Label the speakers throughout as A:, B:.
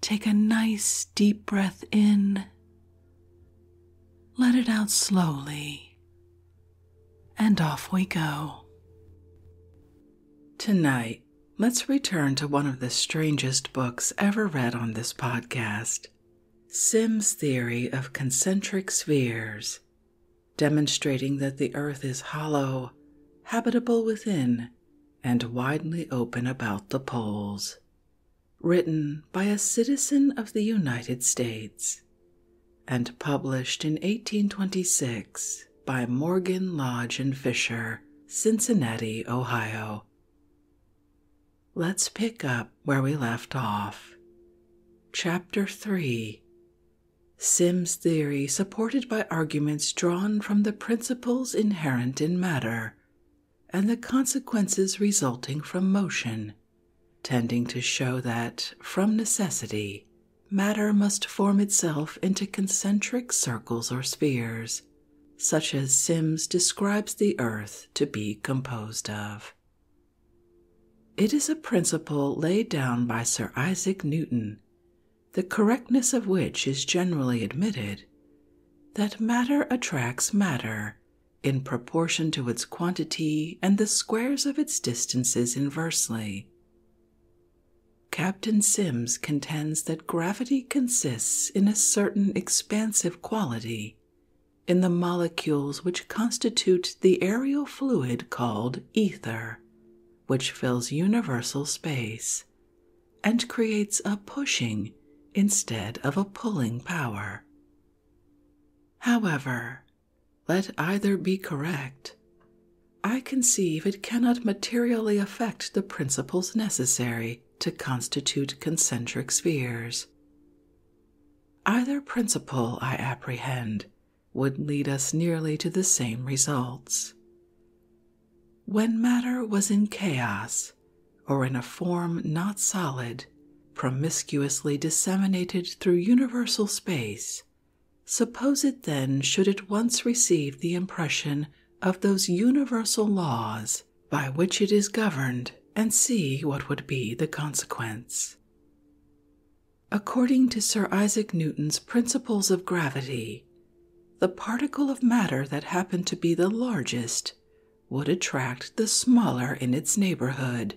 A: Take a nice deep breath in, let it out slowly, and off we go. Tonight, let's return to one of the strangest books ever read on this podcast Sim's Theory of Concentric Spheres, demonstrating that the Earth is hollow, habitable within, and widely open about the poles written by a citizen of the United States and published in 1826 by Morgan Lodge and Fisher, Cincinnati, Ohio. Let's pick up where we left off. Chapter 3 Sim's theory supported by arguments drawn from the principles inherent in matter and the consequences resulting from motion, tending to show that, from necessity, matter must form itself into concentric circles or spheres, such as Sims describes the earth to be composed of. It is a principle laid down by Sir Isaac Newton, the correctness of which is generally admitted, that matter attracts matter in proportion to its quantity and the squares of its distances inversely. Captain Sims contends that gravity consists in a certain expansive quality in the molecules which constitute the aerial fluid called ether, which fills universal space, and creates a pushing instead of a pulling power. However, let either be correct. I conceive it cannot materially affect the principles necessary to constitute concentric spheres. Either principle, I apprehend, would lead us nearly to the same results. When matter was in chaos, or in a form not solid, promiscuously disseminated through universal space. Suppose it then should at once receive the impression of those universal laws by which it is governed, and see what would be the consequence. According to Sir Isaac Newton's principles of gravity, the particle of matter that happened to be the largest would attract the smaller in its neighborhood,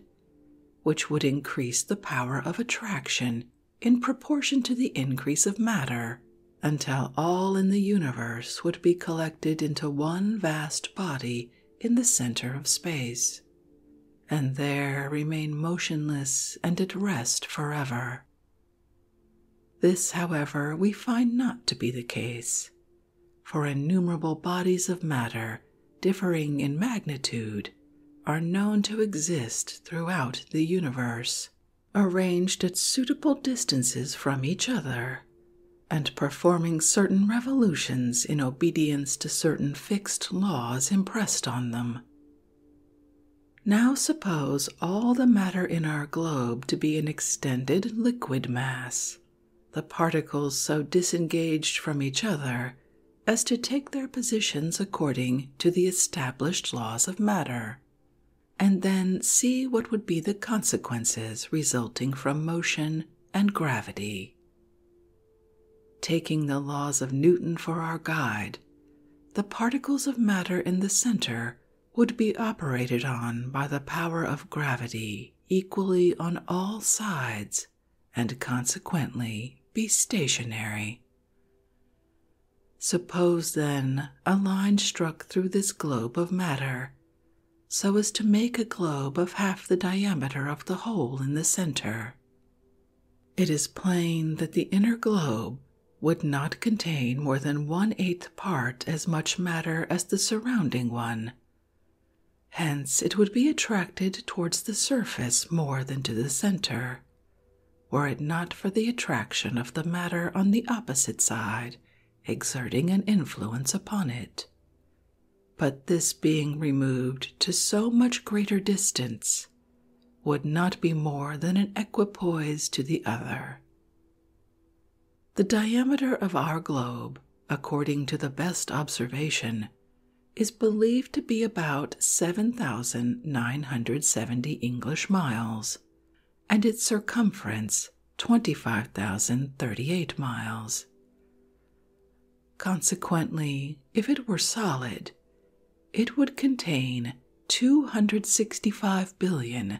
A: which would increase the power of attraction in proportion to the increase of matter until all in the universe would be collected into one vast body in the center of space, and there remain motionless and at rest forever. This, however, we find not to be the case, for innumerable bodies of matter differing in magnitude are known to exist throughout the universe, arranged at suitable distances from each other, and performing certain revolutions in obedience to certain fixed laws impressed on them. Now suppose all the matter in our globe to be an extended liquid mass the particles so disengaged from each other as to take their positions according to the established laws of matter, and then see what would be the consequences resulting from motion and gravity. Taking the laws of Newton for our guide, the particles of matter in the center would be operated on by the power of gravity equally on all sides and consequently be stationary. Suppose then a line struck through this globe of matter so as to make a globe of half the diameter of the hole in the center. It is plain that the inner globe would not contain more than one eighth part as much matter as the surrounding one Hence, it would be attracted towards the surface more than to the center, were it not for the attraction of the matter on the opposite side exerting an influence upon it. But this being removed to so much greater distance would not be more than an equipoise to the other. The diameter of our globe, according to the best observation, is believed to be about 7,970 English miles, and its circumference 25,038 miles. Consequently, if it were solid, it would contain 265 billion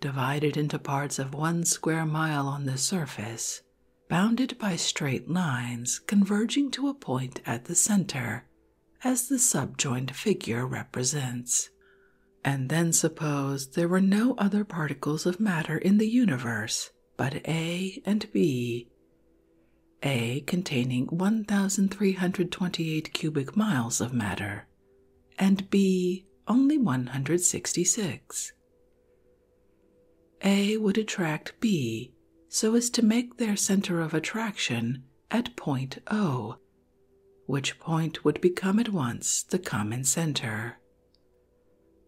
A: divided into parts of one square mile on the surface, bounded by straight lines converging to a point at the center, as the subjoined figure represents. And then suppose there were no other particles of matter in the universe but A and B, A containing 1,328 cubic miles of matter, and B only 166. A would attract B so as to make their center of attraction at point O, which point would become at once the common center.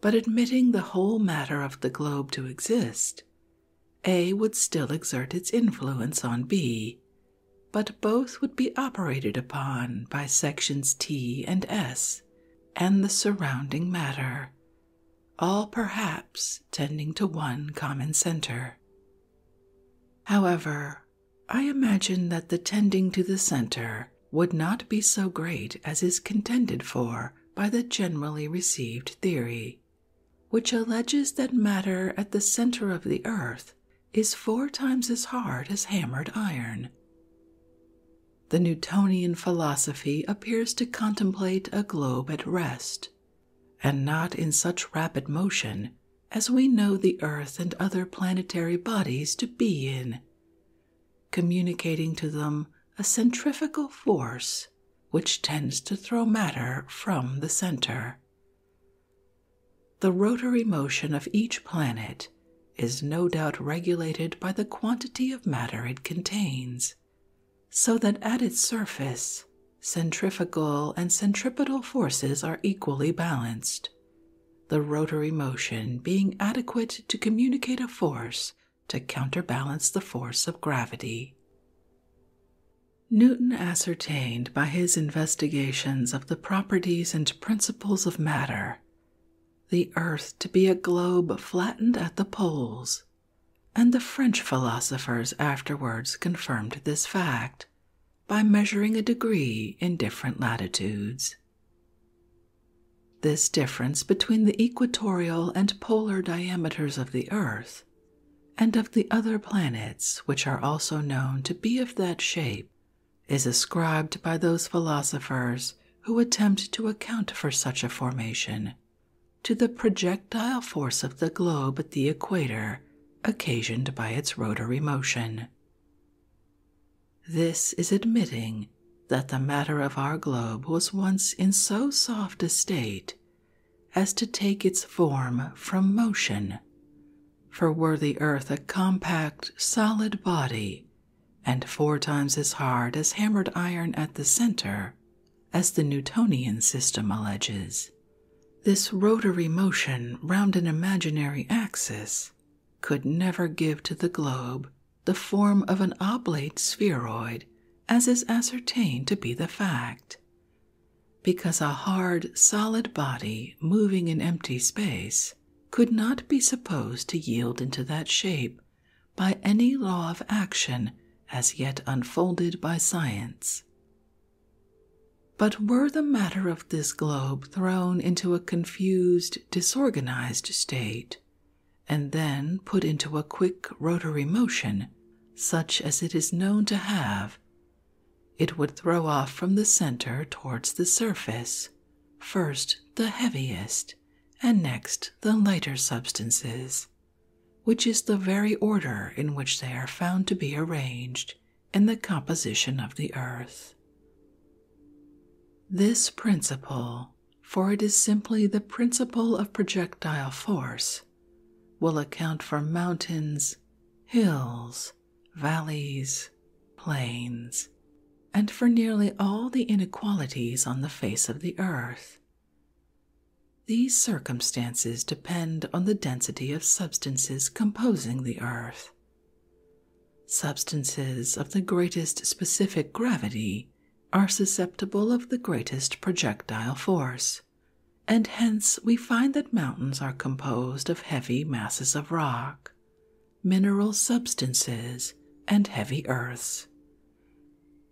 A: But admitting the whole matter of the globe to exist, A would still exert its influence on B, but both would be operated upon by sections T and S and the surrounding matter, all perhaps tending to one common center. However, I imagine that the tending to the center would not be so great as is contended for by the generally received theory, which alleges that matter at the center of the earth is four times as hard as hammered iron. The Newtonian philosophy appears to contemplate a globe at rest, and not in such rapid motion as we know the Earth and other planetary bodies to be in, communicating to them a centrifugal force which tends to throw matter from the center. The rotary motion of each planet is no doubt regulated by the quantity of matter it contains, so that at its surface centrifugal and centripetal forces are equally balanced, the rotary motion being adequate to communicate a force to counterbalance the force of gravity. Newton ascertained by his investigations of the properties and principles of matter the earth to be a globe flattened at the poles, and the French philosophers afterwards confirmed this fact by measuring a degree in different latitudes. This difference between the equatorial and polar diameters of the earth and of the other planets, which are also known to be of that shape, is ascribed by those philosophers who attempt to account for such a formation to the projectile force of the globe at the equator occasioned by its rotary motion. This is admitting that the matter of our globe was once in so soft a state as to take its form from motion, for were the earth a compact, solid body and four times as hard as hammered iron at the center, as the Newtonian system alleges. This rotary motion round an imaginary axis could never give to the globe the form of an oblate spheroid, as is ascertained to be the fact. Because a hard, solid body moving in empty space could not be supposed to yield into that shape by any law of action as yet unfolded by science. But were the matter of this globe thrown into a confused, disorganized state, and then put into a quick rotary motion, such as it is known to have, it would throw off from the center towards the surface, first the heaviest, and next the lighter substances, which is the very order in which they are found to be arranged in the composition of the earth. This principle, for it is simply the principle of projectile force, will account for mountains, hills, valleys, plains, and for nearly all the inequalities on the face of the earth. These circumstances depend on the density of substances composing the earth. Substances of the greatest specific gravity are susceptible of the greatest projectile force, and hence we find that mountains are composed of heavy masses of rock, mineral substances, and heavy earths.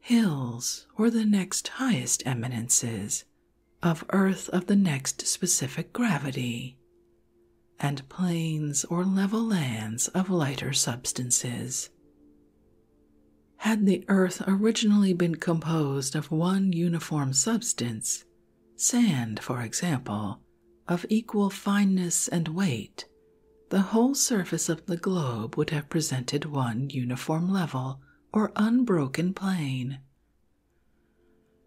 A: Hills, or the next highest eminences, of earth of the next specific gravity, and plains or level lands of lighter substances. Had the earth originally been composed of one uniform substance, sand, for example, of equal fineness and weight the whole surface of the globe would have presented one uniform level or unbroken plane.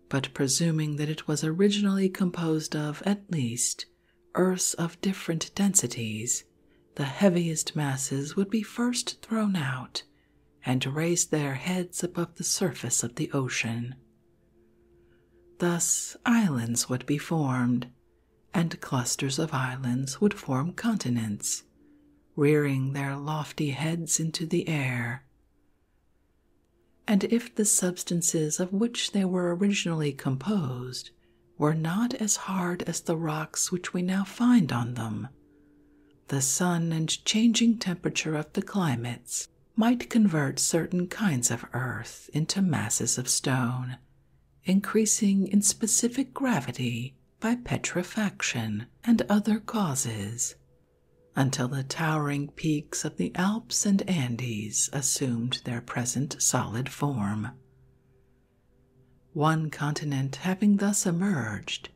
A: But presuming that it was originally composed of at least Earths of different densities, the heaviest masses would be first thrown out and raise their heads above the surface of the ocean. Thus, islands would be formed and clusters of islands would form continents, rearing their lofty heads into the air. And if the substances of which they were originally composed were not as hard as the rocks which we now find on them, the sun and changing temperature of the climates might convert certain kinds of earth into masses of stone increasing in specific gravity by petrifaction and other causes, until the towering peaks of the Alps and Andes assumed their present solid form. One continent having thus emerged,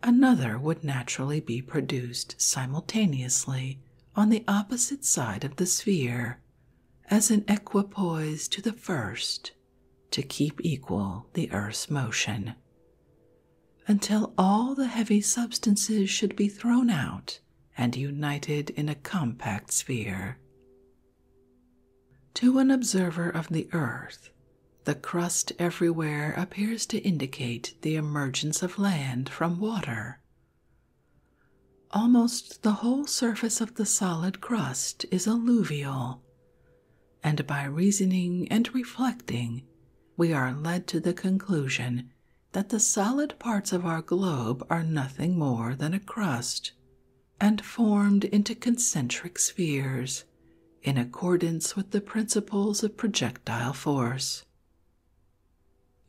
A: another would naturally be produced simultaneously on the opposite side of the sphere as an equipoise to the first to keep equal the earth's motion, until all the heavy substances should be thrown out and united in a compact sphere. To an observer of the earth, the crust everywhere appears to indicate the emergence of land from water, Almost the whole surface of the solid crust is alluvial, and by reasoning and reflecting, we are led to the conclusion that the solid parts of our globe are nothing more than a crust and formed into concentric spheres in accordance with the principles of projectile force.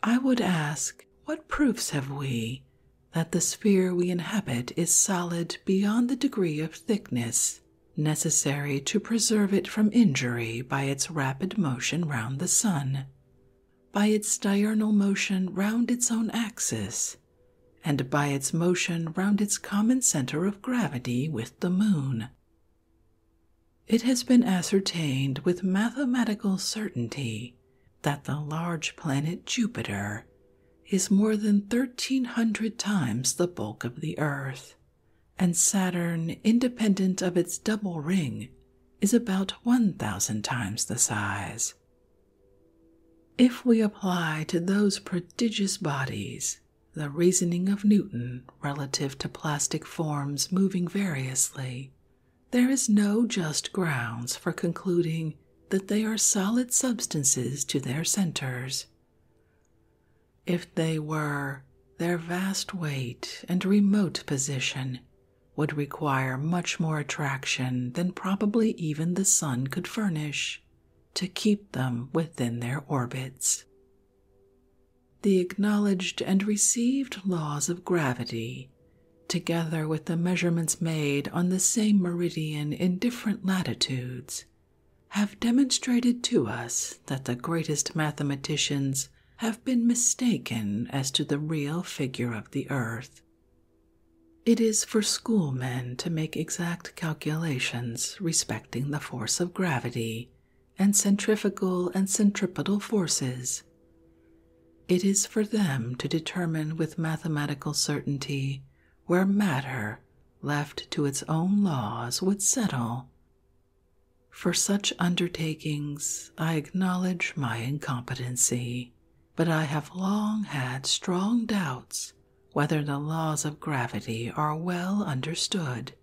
A: I would ask, what proofs have we that the sphere we inhabit is solid beyond the degree of thickness necessary to preserve it from injury by its rapid motion round the sun, by its diurnal motion round its own axis, and by its motion round its common center of gravity with the moon. It has been ascertained with mathematical certainty that the large planet Jupiter is more than 1,300 times the bulk of the Earth, and Saturn, independent of its double ring, is about 1,000 times the size. If we apply to those prodigious bodies the reasoning of Newton relative to plastic forms moving variously, there is no just grounds for concluding that they are solid substances to their centers. If they were, their vast weight and remote position would require much more attraction than probably even the sun could furnish to keep them within their orbits. The acknowledged and received laws of gravity together with the measurements made on the same meridian in different latitudes, have demonstrated to us that the greatest mathematicians have been mistaken as to the real figure of the earth. It is for schoolmen to make exact calculations respecting the force of gravity and centrifugal and centripetal forces, it is for them to determine with mathematical certainty where matter, left to its own laws, would settle. For such undertakings, I acknowledge my incompetency, but I have long had strong doubts whether the laws of gravity are well understood,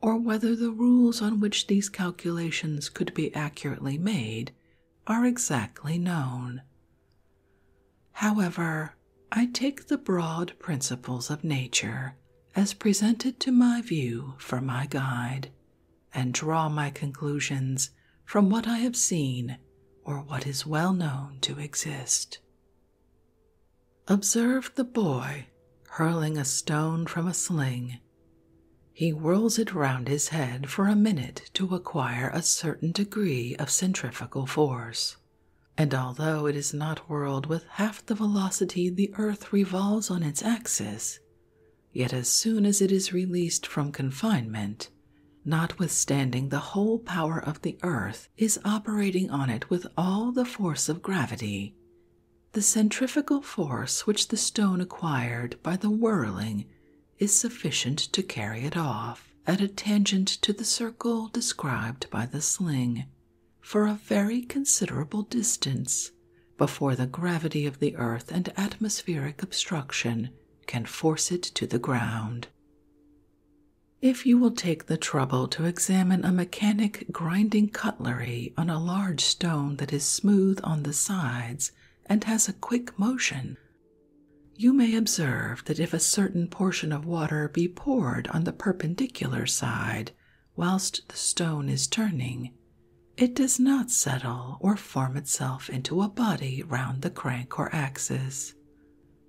A: or whether the rules on which these calculations could be accurately made are exactly known. However, I take the broad principles of nature as presented to my view for my guide and draw my conclusions from what I have seen or what is well known to exist. Observe the boy hurling a stone from a sling. He whirls it round his head for a minute to acquire a certain degree of centrifugal force. And although it is not whirled with half the velocity the earth revolves on its axis, yet as soon as it is released from confinement, notwithstanding the whole power of the earth is operating on it with all the force of gravity, the centrifugal force which the stone acquired by the whirling is sufficient to carry it off at a tangent to the circle described by the sling for a very considerable distance before the gravity of the earth and atmospheric obstruction can force it to the ground. If you will take the trouble to examine a mechanic grinding cutlery on a large stone that is smooth on the sides and has a quick motion, you may observe that if a certain portion of water be poured on the perpendicular side whilst the stone is turning, it does not settle or form itself into a body round the crank or axis,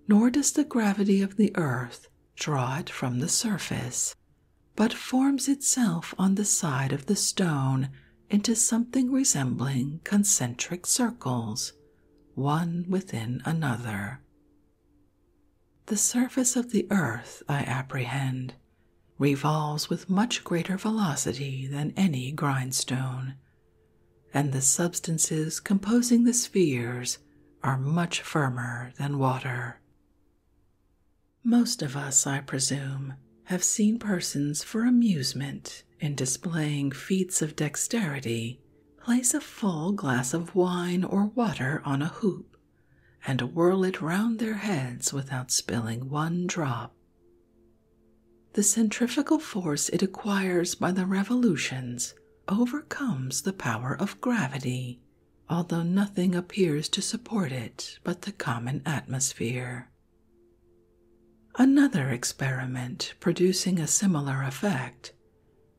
A: nor does the gravity of the earth draw it from the surface, but forms itself on the side of the stone into something resembling concentric circles one within another. The surface of the earth, I apprehend, revolves with much greater velocity than any grindstone, and the substances composing the spheres are much firmer than water. Most of us, I presume, have seen persons for amusement in displaying feats of dexterity, place a full glass of wine or water on a hoop and whirl it round their heads without spilling one drop. The centrifugal force it acquires by the revolutions overcomes the power of gravity, although nothing appears to support it but the common atmosphere. Another experiment producing a similar effect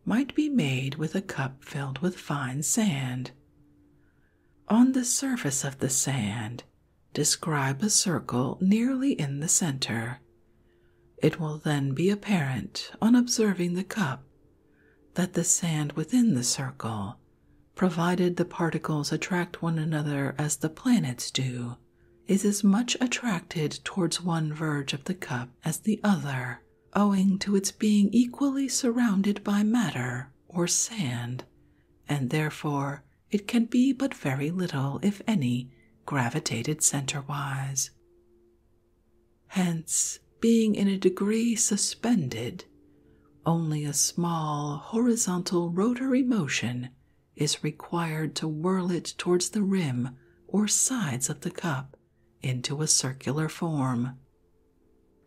A: might be made with a cup filled with fine sand. On the surface of the sand, describe a circle nearly in the center. It will then be apparent, on observing the cup, that the sand within the circle, provided the particles attract one another as the planets do, is as much attracted towards one verge of the cup as the other, owing to its being equally surrounded by matter or sand, and therefore it can be but very little, if any, gravitated centrewise. Hence, being in a degree suspended, only a small horizontal rotary motion is required to whirl it towards the rim or sides of the cup into a circular form.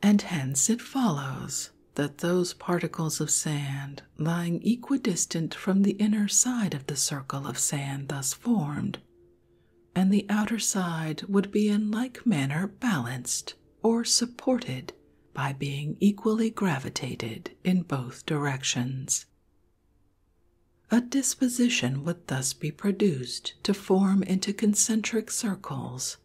A: And hence it follows that those particles of sand lying equidistant from the inner side of the circle of sand thus formed, and the outer side would be in like manner balanced or supported by being equally gravitated in both directions. A disposition would thus be produced to form into concentric circles,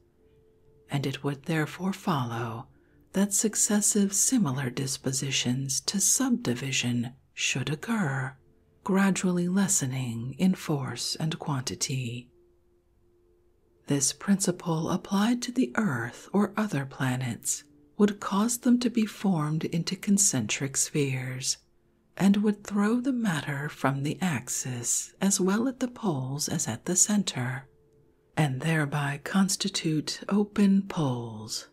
A: and it would therefore follow that successive similar dispositions to subdivision should occur, gradually lessening in force and quantity. This principle applied to the Earth or other planets would cause them to be formed into concentric spheres and would throw the matter from the axis as well at the poles as at the center, and thereby constitute open poles.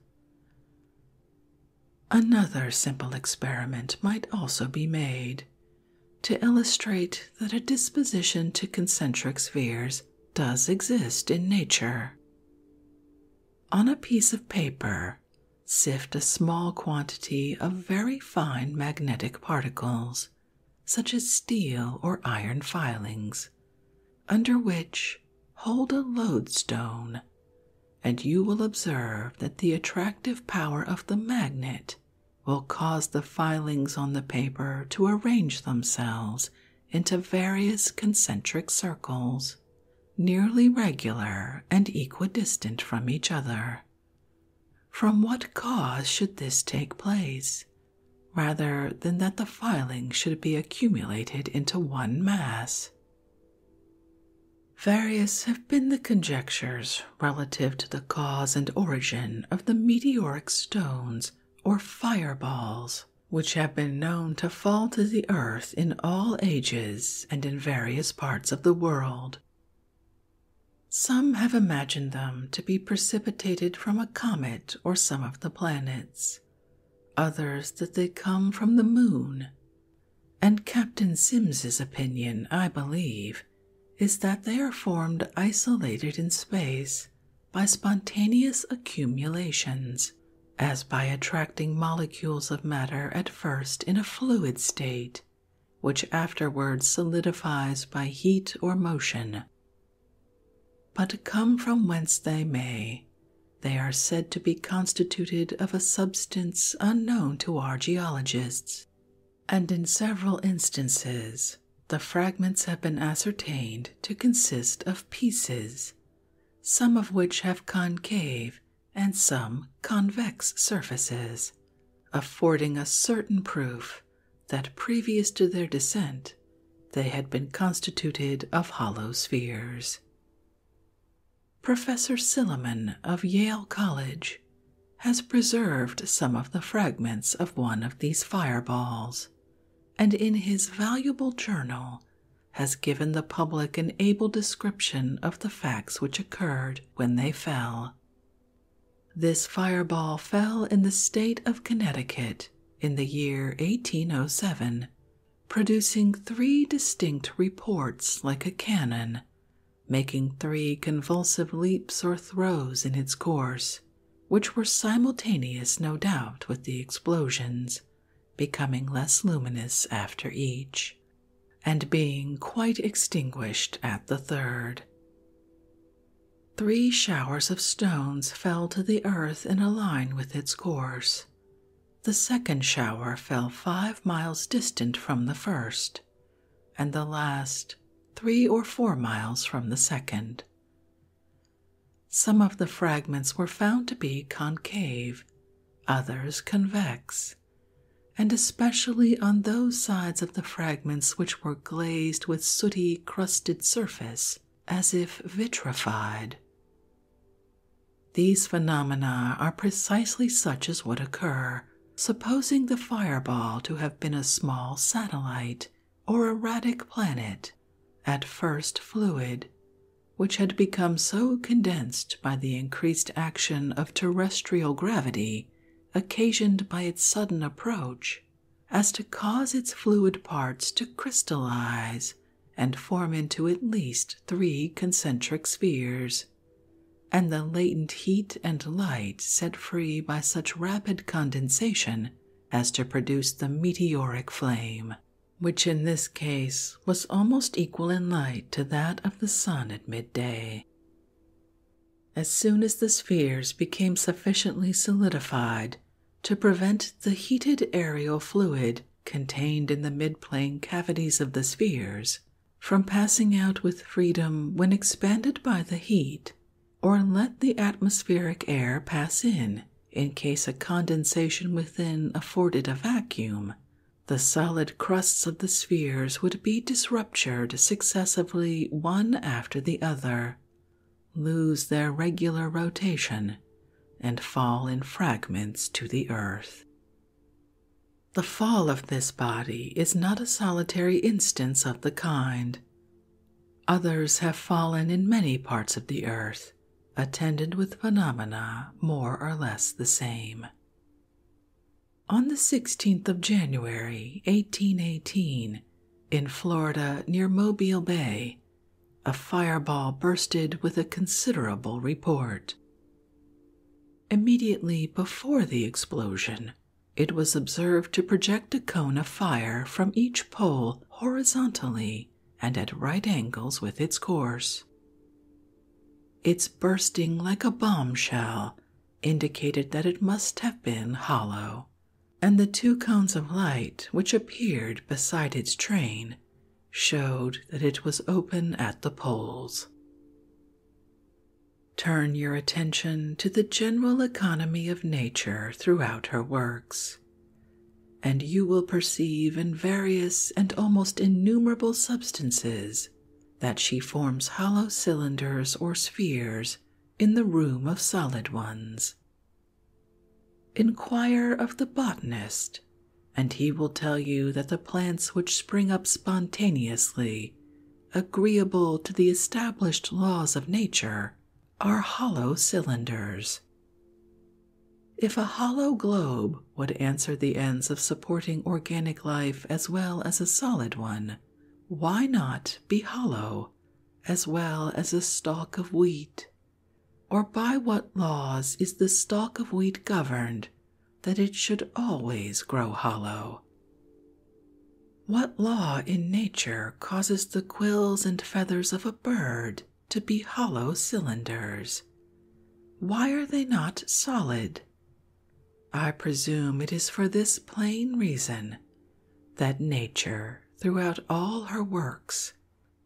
A: Another simple experiment might also be made to illustrate that a disposition to concentric spheres does exist in nature. On a piece of paper, sift a small quantity of very fine magnetic particles, such as steel or iron filings, under which hold a lodestone, and you will observe that the attractive power of the magnet will cause the filings on the paper to arrange themselves into various concentric circles nearly regular and equidistant from each other. From what cause should this take place, rather than that the filings should be accumulated into one mass? Various have been the conjectures relative to the cause and origin of the meteoric stones or fireballs which have been known to fall to the earth in all ages and in various parts of the world. Some have imagined them to be precipitated from a comet or some of the planets, others that they come from the moon. And Captain Sims's opinion, I believe, is that they are formed isolated in space by spontaneous accumulations as by attracting molecules of matter at first in a fluid state, which afterwards solidifies by heat or motion. But come from whence they may, they are said to be constituted of a substance unknown to our geologists, and in several instances the fragments have been ascertained to consist of pieces, some of which have concave and some convex surfaces, affording a certain proof that previous to their descent they had been constituted of hollow spheres. Professor Silliman of Yale College has preserved some of the fragments of one of these fireballs, and in his valuable journal has given the public an able description of the facts which occurred when they fell. This fireball fell in the state of Connecticut in the year 1807, producing three distinct reports like a cannon, making three convulsive leaps or throws in its course, which were simultaneous, no doubt, with the explosions, becoming less luminous after each, and being quite extinguished at the third. Three showers of stones fell to the earth in a line with its course. The second shower fell five miles distant from the first, and the last three or four miles from the second. Some of the fragments were found to be concave others convex, and especially on those sides of the fragments which were glazed with sooty crusted surface as if vitrified. These phenomena are precisely such as would occur, supposing the fireball to have been a small satellite or erratic planet, at first fluid, which had become so condensed by the increased action of terrestrial gravity occasioned by its sudden approach as to cause its fluid parts to crystallize and form into at least three concentric spheres, and the latent heat and light set free by such rapid condensation as to produce the meteoric flame which in this case was almost equal in light to that of the sun at midday. As soon as the spheres became sufficiently solidified to prevent the heated aerial fluid contained in the midplane cavities of the spheres from passing out with freedom when expanded by the heat, or let the atmospheric air pass in in case a condensation within afforded a vacuum, the solid crusts of the spheres would be disruptured successively one after the other, lose their regular rotation, and fall in fragments to the earth. The fall of this body is not a solitary instance of the kind. Others have fallen in many parts of the earth, attended with phenomena more or less the same. On the 16th of January, 1818, in Florida near Mobile Bay, a fireball bursted with a considerable report. Immediately before the explosion, it was observed to project a cone of fire from each pole horizontally and at right angles with its course. Its bursting like a bombshell indicated that it must have been hollow, and the two cones of light which appeared beside its train showed that it was open at the poles. Turn your attention to the general economy of nature throughout her works, and you will perceive in various and almost innumerable substances that she forms hollow cylinders or spheres in the room of solid ones. Inquire of the botanist, and he will tell you that the plants which spring up spontaneously, agreeable to the established laws of nature, are hollow cylinders. If a hollow globe would answer the ends of supporting organic life as well as a solid one, why not be hollow as well as a stalk of wheat? Or by what laws is the stalk of wheat governed that it should always grow hollow? What law in nature causes the quills and feathers of a bird to be hollow cylinders? Why are they not solid? I presume it is for this plain reason that nature, throughout all her works,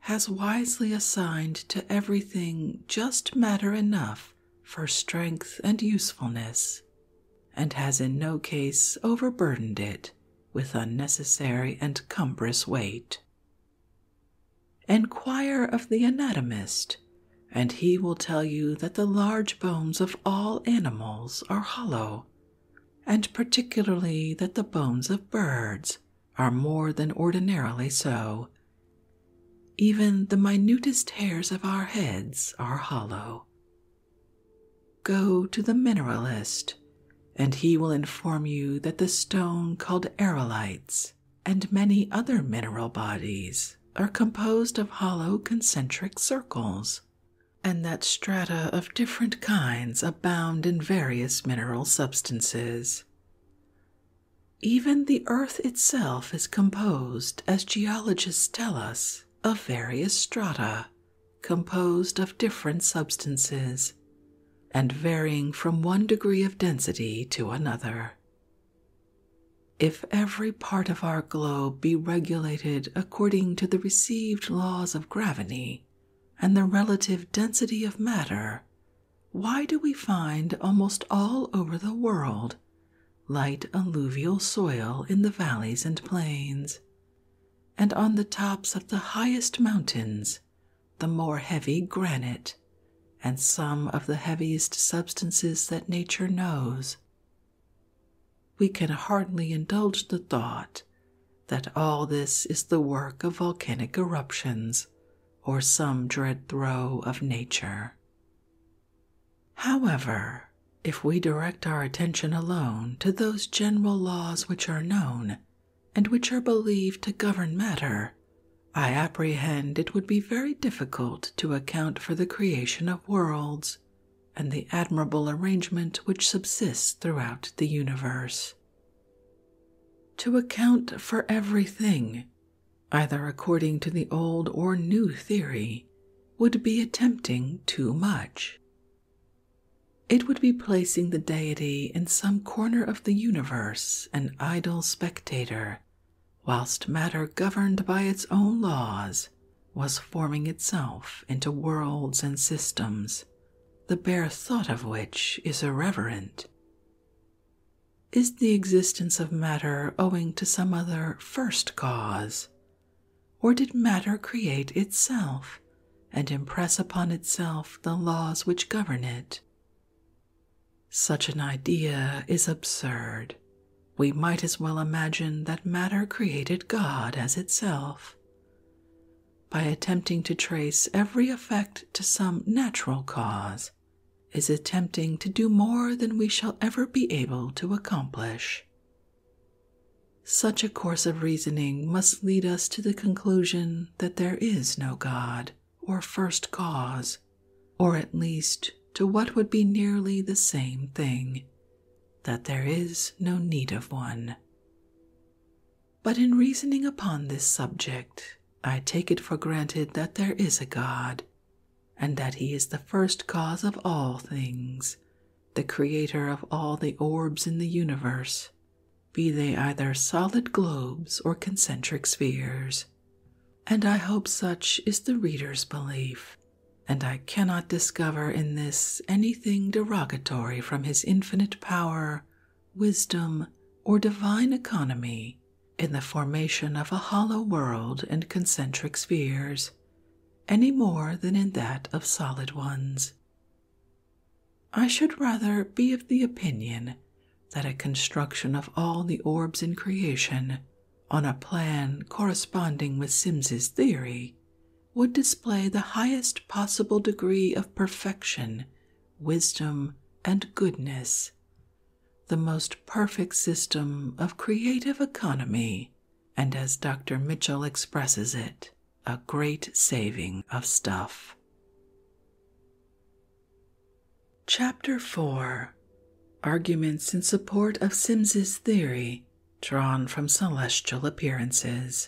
A: has wisely assigned to everything just matter enough for strength and usefulness, and has in no case overburdened it with unnecessary and cumbrous weight. Enquire of the anatomist, and he will tell you that the large bones of all animals are hollow, and particularly that the bones of birds are more than ordinarily so. Even the minutest hairs of our heads are hollow. Go to the mineralist, and he will inform you that the stone called aerolites and many other mineral bodies are composed of hollow concentric circles, and that strata of different kinds abound in various mineral substances. Even the earth itself is composed, as geologists tell us, of various strata composed of different substances and varying from one degree of density to another. If every part of our globe be regulated according to the received laws of gravity and the relative density of matter, why do we find almost all over the world light alluvial soil in the valleys and plains, and on the tops of the highest mountains the more heavy granite and some of the heaviest substances that nature knows. We can hardly indulge the thought that all this is the work of volcanic eruptions or some dread throe of nature. However, if we direct our attention alone to those general laws which are known and which are believed to govern matter, I apprehend it would be very difficult to account for the creation of worlds and the admirable arrangement which subsists throughout the universe. To account for everything, either according to the old or new theory, would be attempting too much. It would be placing the deity in some corner of the universe, an idle spectator whilst matter governed by its own laws was forming itself into worlds and systems, the bare thought of which is irreverent. Is the existence of matter owing to some other first cause? Or did matter create itself and impress upon itself the laws which govern it? Such an idea is absurd. We might as well imagine that matter created God as itself. By attempting to trace every effect to some natural cause, is attempting to do more than we shall ever be able to accomplish. Such a course of reasoning must lead us to the conclusion that there is no God or first cause or at least to what would be nearly the same thing, that there is no need of one. But in reasoning upon this subject, I take it for granted that there is a God, and that He is the first cause of all things, the creator of all the orbs in the universe, be they either solid globes or concentric spheres and I hope such is the reader's belief, and I cannot discover in this anything derogatory from his infinite power, wisdom, or divine economy in the formation of a hollow world and concentric spheres, any more than in that of solid ones. I should rather be of the opinion that a construction of all the orbs in creation on a plan corresponding with Sims's theory, would display the highest possible degree of perfection, wisdom, and goodness, the most perfect system of creative economy, and as Dr. Mitchell expresses it, a great saving of stuff. Chapter 4 Arguments in Support of Sims's Theory Drawn from Celestial Appearances.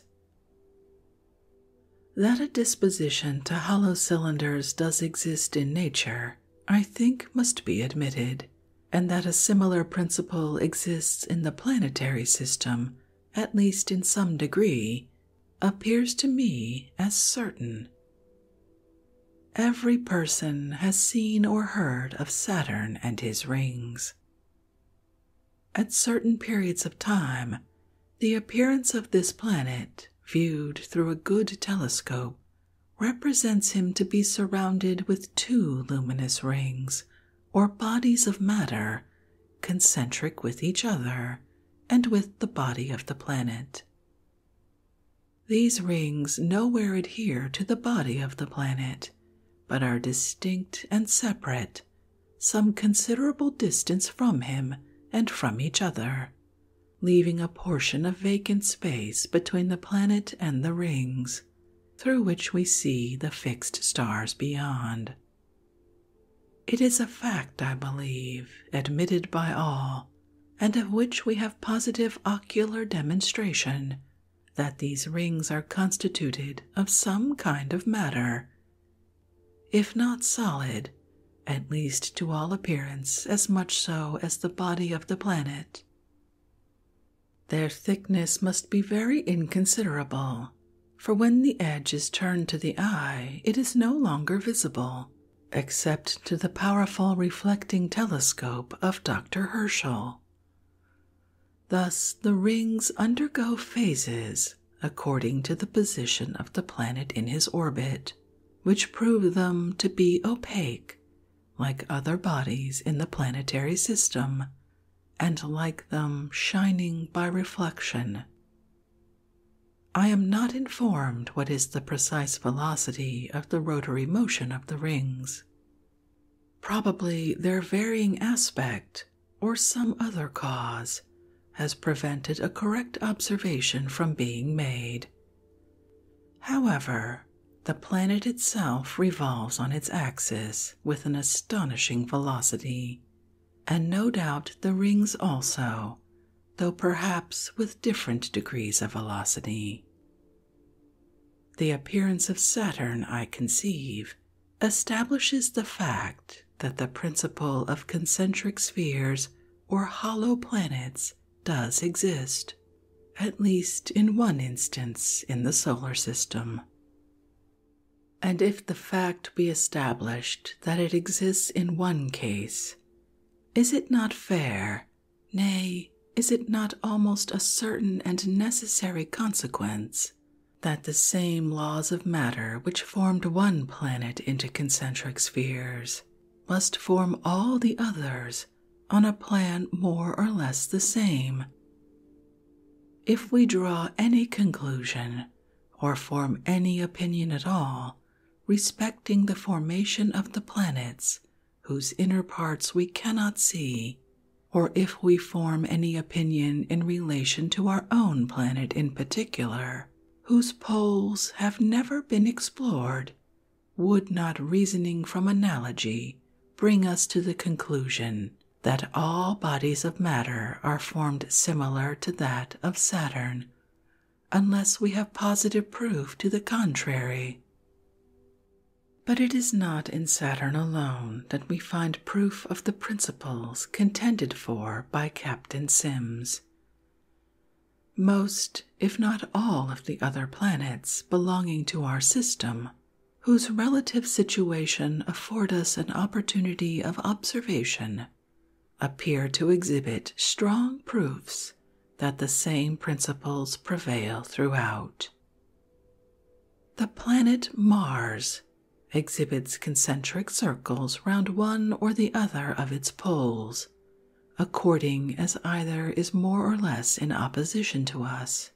A: That a disposition to hollow cylinders does exist in nature, I think, must be admitted, and that a similar principle exists in the planetary system, at least in some degree, appears to me as certain. Every person has seen or heard of Saturn and his rings. At certain periods of time, the appearance of this planet, viewed through a good telescope, represents him to be surrounded with two luminous rings or bodies of matter concentric with each other and with the body of the planet. These rings nowhere adhere to the body of the planet, but are distinct and separate, some considerable distance from him and from each other, leaving a portion of vacant space between the planet and the rings, through which we see the fixed stars beyond. It is a fact, I believe, admitted by all, and of which we have positive ocular demonstration, that these rings are constituted of some kind of matter, if not solid, at least to all appearance as much so as the body of the planet. Their thickness must be very inconsiderable, for when the edge is turned to the eye, it is no longer visible, except to the powerful reflecting telescope of Dr. Herschel. Thus, the rings undergo phases according to the position of the planet in his orbit, which prove them to be opaque, like other bodies in the planetary system, and like them shining by reflection. I am not informed what is the precise velocity of the rotary motion of the rings, Probably their varying aspect or some other cause has prevented a correct observation from being made. However, the planet itself revolves on its axis with an astonishing velocity, and no doubt the rings also, though perhaps with different degrees of velocity. The appearance of Saturn, I conceive, establishes the fact that the principle of concentric spheres or hollow planets does exist, at least in one instance in the solar system. And if the fact be established that it exists in one case, is it not fair Nay, is it not almost a certain and necessary consequence that the same laws of matter which formed one planet into concentric spheres must form all the others on a plan more or less the same? If we draw any conclusion or form any opinion at all respecting the formation of the planets whose inner parts we cannot see, or if we form any opinion in relation to our own planet in particular, whose poles have never been explored, would not reasoning from analogy bring us to the conclusion that all bodies of matter are formed similar to that of Saturn, unless we have positive proof to the contrary. But it is not in Saturn alone that we find proof of the principles contended for by Captain Sims. Most, if not all, of the other planets belonging to our system, whose relative situation afford us an opportunity of observation, appear to exhibit strong proofs that the same principles prevail throughout. The planet Mars exhibits concentric circles round one or the other of its poles, according as either is more or less in opposition to us.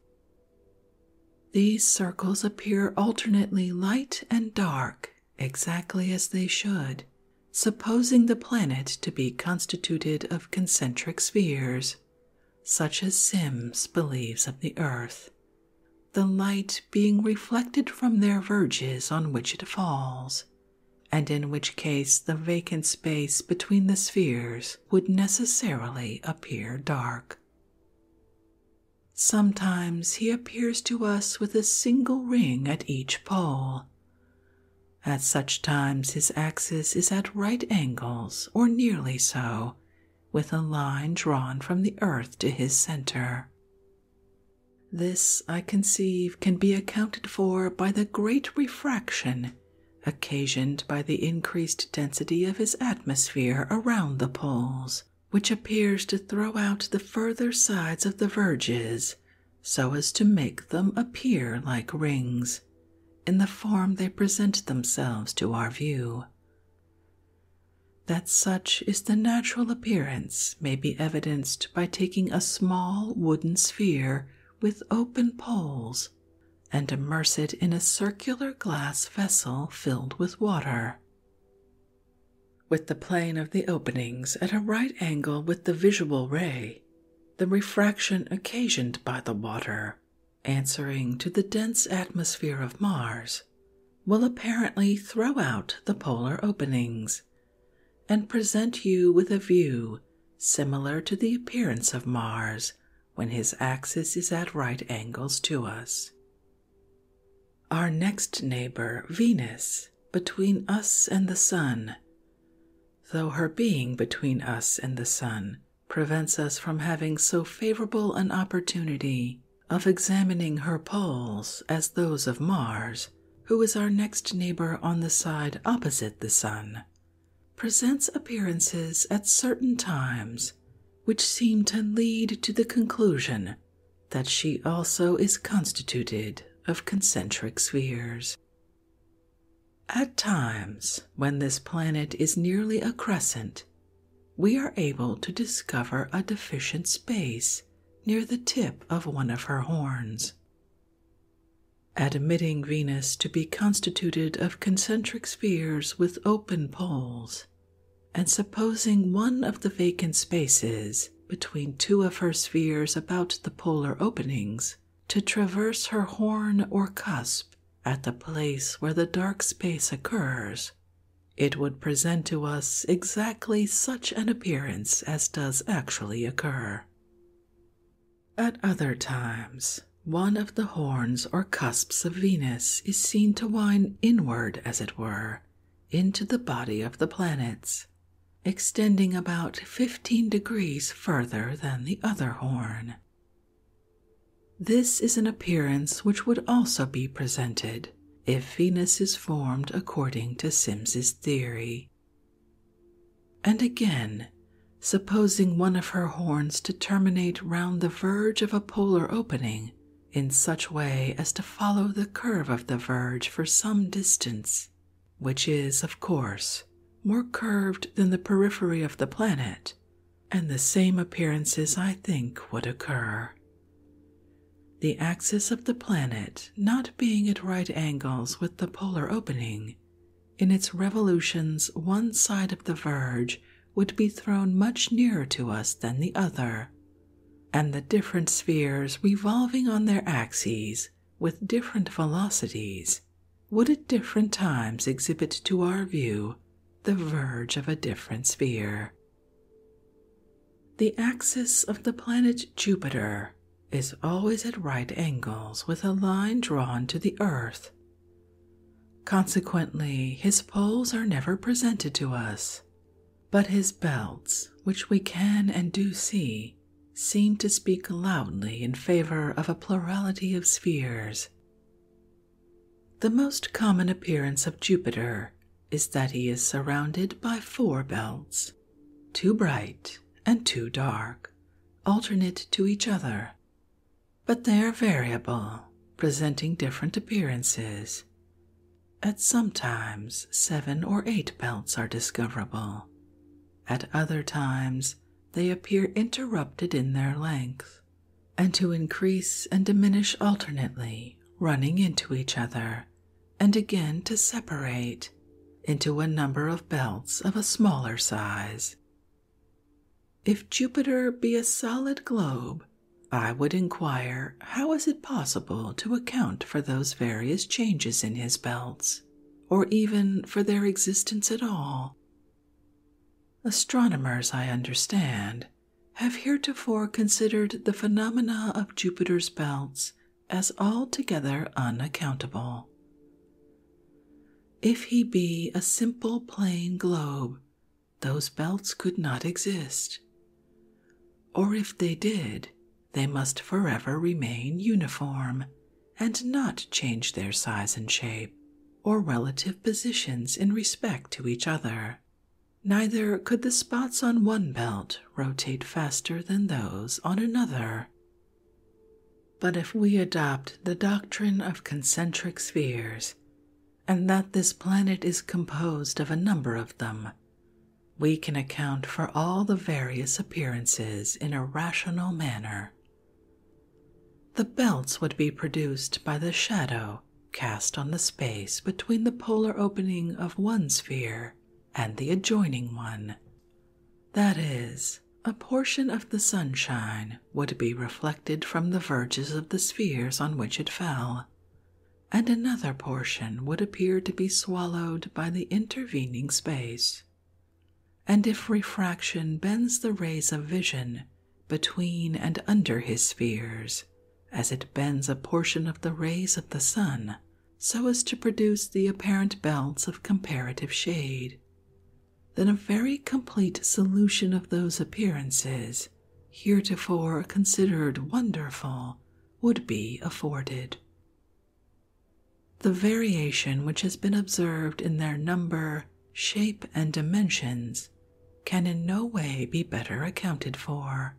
A: These circles appear alternately light and dark, exactly as they should, supposing the planet to be constituted of concentric spheres, such as Sims believes of the earth, the light being reflected from their verges on which it falls, and in which case the vacant space between the spheres would necessarily appear dark. Sometimes he appears to us with a single ring at each pole. At such times, his axis is at right angles or nearly so with a line drawn from the earth to his center. This, I conceive, can be accounted for by the great refraction occasioned by the increased density of his atmosphere around the poles, which appears to throw out the further sides of the verges so as to make them appear like rings in the form they present themselves to our view. That such is the natural appearance may be evidenced by taking a small wooden sphere with open poles and immerse it in a circular glass vessel filled with water. With the plane of the openings at a right angle with the visual ray, the refraction occasioned by the water answering to the dense atmosphere of Mars, will apparently throw out the polar openings and present you with a view similar to the appearance of Mars when his axis is at right angles to us. Our next neighbor, Venus, between us and the Sun, though her being between us and the Sun prevents us from having so favorable an opportunity of examining her poles as those of Mars, who is our next neighbor on the side opposite the Sun, presents appearances at certain times which seem to lead to the conclusion that she also is constituted of concentric spheres. At times, when this planet is nearly a crescent, we are able to discover a deficient space near the tip of one of her horns. Admitting Venus to be constituted of concentric spheres with open poles, and supposing one of the vacant spaces between two of her spheres about the polar openings to traverse her horn or cusp at the place where the dark space occurs, it would present to us exactly such an appearance as does actually occur. At other times, one of the horns or cusps of Venus is seen to wind inward, as it were, into the body of the planets, extending about 15 degrees further than the other horn, this is an appearance which would also be presented if Venus is formed according to Sims's theory. And again, supposing one of her horns to terminate round the verge of a polar opening in such way as to follow the curve of the verge for some distance, which is, of course, more curved than the periphery of the planet and the same appearances I think would occur. The axis of the planet not being at right angles with the polar opening, in its revolutions one side of the verge would be thrown much nearer to us than the other, and the different spheres revolving on their axes with different velocities would at different times exhibit to our view the verge of a different sphere. The axis of the planet Jupiter is always at right angles with a line drawn to the Earth. Consequently, his poles are never presented to us, but his belts, which we can and do see, seem to speak loudly in favor of a plurality of spheres, the most common appearance of Jupiter is that he is surrounded by four belts, two bright and two dark, alternate to each other, but they are variable, presenting different appearances. At some times, seven or eight belts are discoverable. At other times, they appear interrupted in their length and to increase and diminish alternately, running into each other, and again to separate into a number of belts of a smaller size. If Jupiter be a solid globe, I would inquire how is it possible to account for those various changes in his belts, or even for their existence at all, Astronomers, I understand, have heretofore considered the phenomena of Jupiter's belts as altogether unaccountable. If he be a simple plain globe, those belts could not exist. Or if they did, they must forever remain uniform and not change their size and shape or relative positions in respect to each other. Neither could the spots on one belt rotate faster than those on another. But if we adopt the doctrine of concentric spheres, and that this planet is composed of a number of them, we can account for all the various appearances in a rational manner, the belts would be produced by the shadow cast on the space between the polar opening of one sphere and the adjoining one. That is, a portion of the sunshine would be reflected from the verges of the spheres on which it fell, and another portion would appear to be swallowed by the intervening space. And if refraction bends the rays of vision between and under his spheres, as it bends a portion of the rays of the sun so as to produce the apparent belts of comparative shade. Then a very complete solution of those appearances, heretofore considered wonderful, would be afforded. The variation which has been observed in their number shape, and dimensions can in no way be better accounted for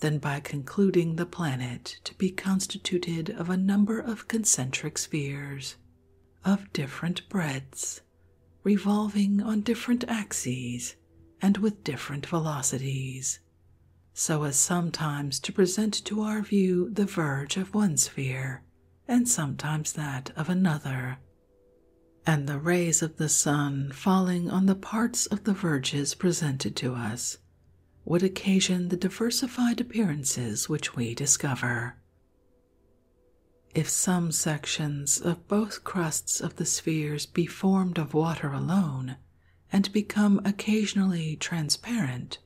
A: than by concluding the planet to be constituted of a number of concentric spheres of different breadths, revolving on different axes and with different velocities, so as sometimes to present to our view the verge of one sphere and sometimes that of another and the rays of the sun falling on the parts of the verges presented to us would occasion the diversified appearances which we discover. If some sections of both crusts of the spheres be formed of water alone and become occasionally transparent,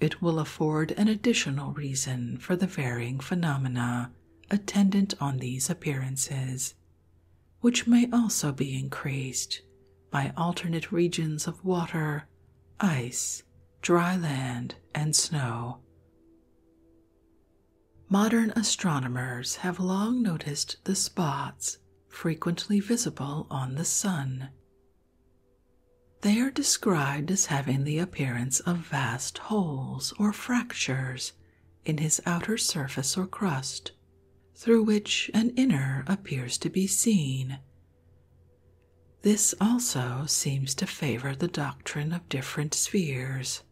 A: it will afford an additional reason for the varying phenomena attendant on these appearances, which may also be increased by alternate regions of water, ice, dry land, and snow. Modern astronomers have long noticed the spots frequently visible on the sun. They are described as having the appearance of vast holes or fractures in his outer surface or crust, through which an inner appears to be seen. This also seems to favor the doctrine of different spheres.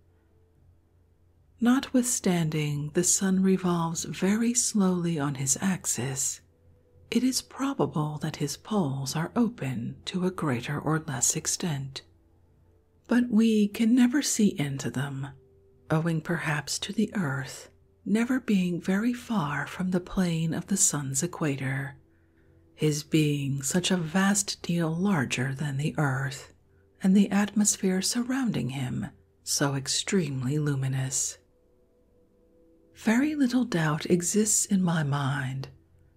A: Notwithstanding the sun revolves very slowly on his axis, it is probable that his poles are open to a greater or less extent, but we can never see into them, owing perhaps to the earth never being very far from the plane of the sun's equator, his being such a vast deal larger than the earth, and the atmosphere surrounding him so extremely luminous. Very little doubt exists in my mind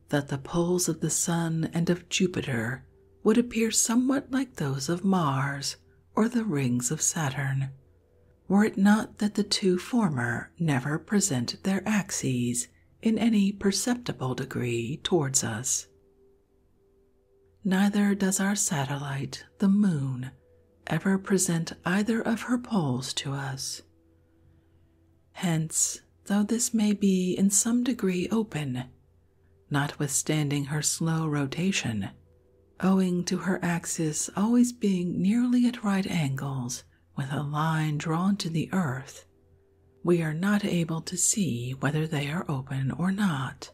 A: that the poles of the Sun and of Jupiter would appear somewhat like those of Mars or the rings of Saturn, were it not that the two former never present their axes in any perceptible degree towards us. Neither does our satellite, the Moon, ever present either of her poles to us. Hence, though this may be in some degree open, notwithstanding her slow rotation, owing to her axis always being nearly at right angles with a line drawn to the earth. We are not able to see whether they are open or not,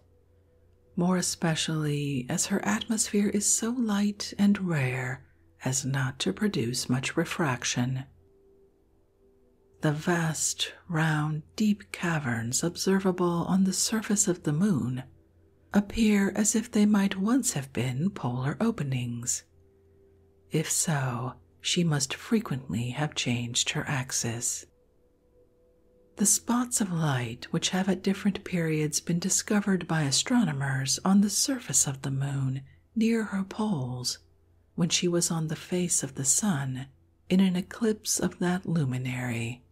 A: more especially as her atmosphere is so light and rare as not to produce much refraction. The vast, round, deep caverns observable on the surface of the moon appear as if they might once have been polar openings. If so, she must frequently have changed her axis. The spots of light which have at different periods been discovered by astronomers on the surface of the moon near her poles when she was on the face of the sun in an eclipse of that luminary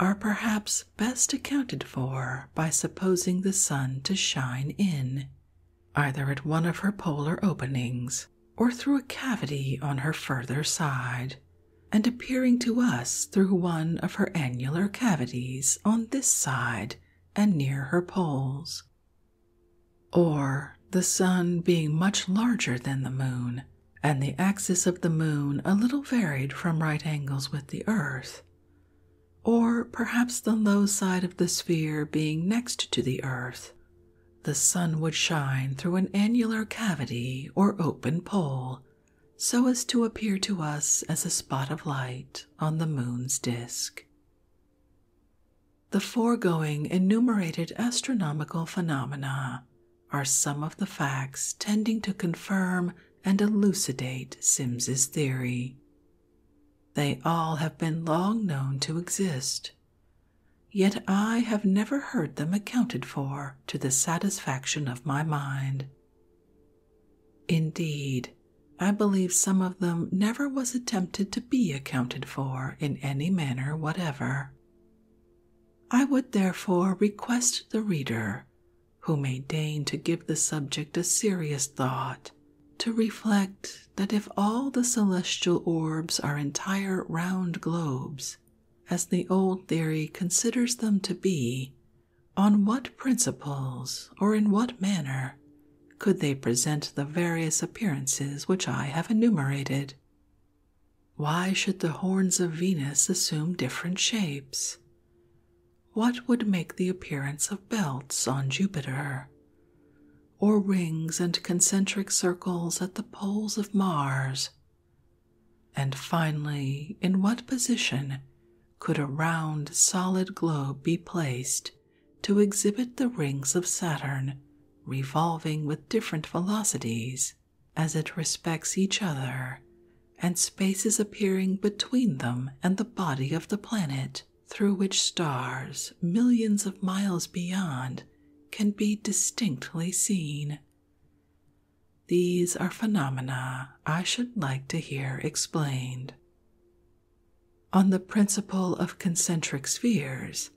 A: are perhaps best accounted for by supposing the sun to shine in, either at one of her polar openings or through a cavity on her further side, and appearing to us through one of her annular cavities on this side and near her poles or the sun being much larger than the moon, and the axis of the moon a little varied from right angles with the earth, or perhaps the low side of the sphere being next to the earth, the sun would shine through an annular cavity or open pole so as to appear to us as a spot of light on the moon's disk. The foregoing enumerated astronomical phenomena are some of the facts tending to confirm and elucidate Sims's theory. They all have been long known to exist, yet I have never heard them accounted for to the satisfaction of my mind. Indeed, I believe some of them never was attempted to be accounted for in any manner whatever. I would therefore request the reader who may deign to give the subject a serious thought to reflect that if all the celestial orbs are entire round globes, as the old theory considers them to be, on what principles or in what manner could they present the various appearances which I have enumerated? Why should the horns of Venus assume different shapes? What would make the appearance of belts on Jupiter? Or rings and concentric circles at the poles of Mars? And finally, in what position could a round solid globe be placed to exhibit the rings of Saturn revolving with different velocities as it respects each other and spaces appearing between them and the body of the planet, through which stars millions of miles beyond can be distinctly seen. These are phenomena I should like to hear explained. On the principle of concentric spheres,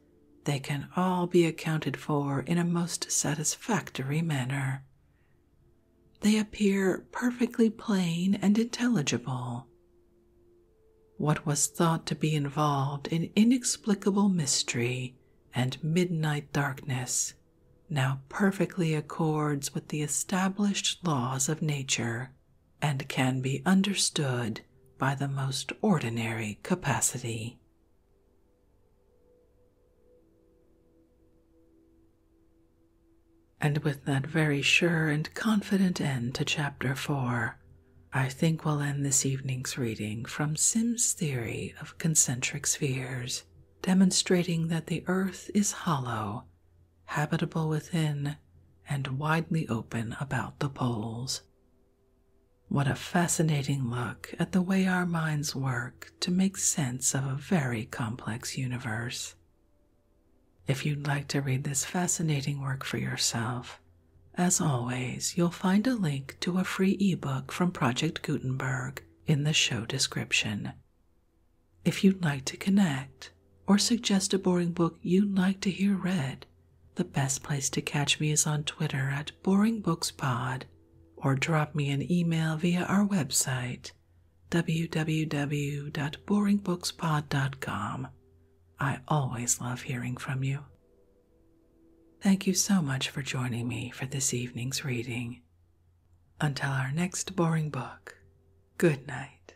A: they can all be accounted for in a most satisfactory manner. They appear perfectly plain and intelligible. What was thought to be involved in inexplicable mystery and midnight darkness now perfectly accords with the established laws of nature and can be understood by the most ordinary capacity. And with that very sure and confident end to Chapter 4, I think we'll end this evening's reading from Sim's theory of concentric spheres, demonstrating that the Earth is hollow, habitable within, and widely open about the poles. What a fascinating look at the way our minds work to make sense of a very complex universe. If you'd like to read this fascinating work for yourself, as always, you'll find a link to a free ebook from Project Gutenberg in the show description. If you'd like to connect or suggest a boring book you'd like to hear read, the best place to catch me is on Twitter at BoringBooksPod or drop me an email via our website www.boringbookspod.com. I always love hearing from you. Thank you so much for joining me for this evening's reading. Until our next boring book, good night.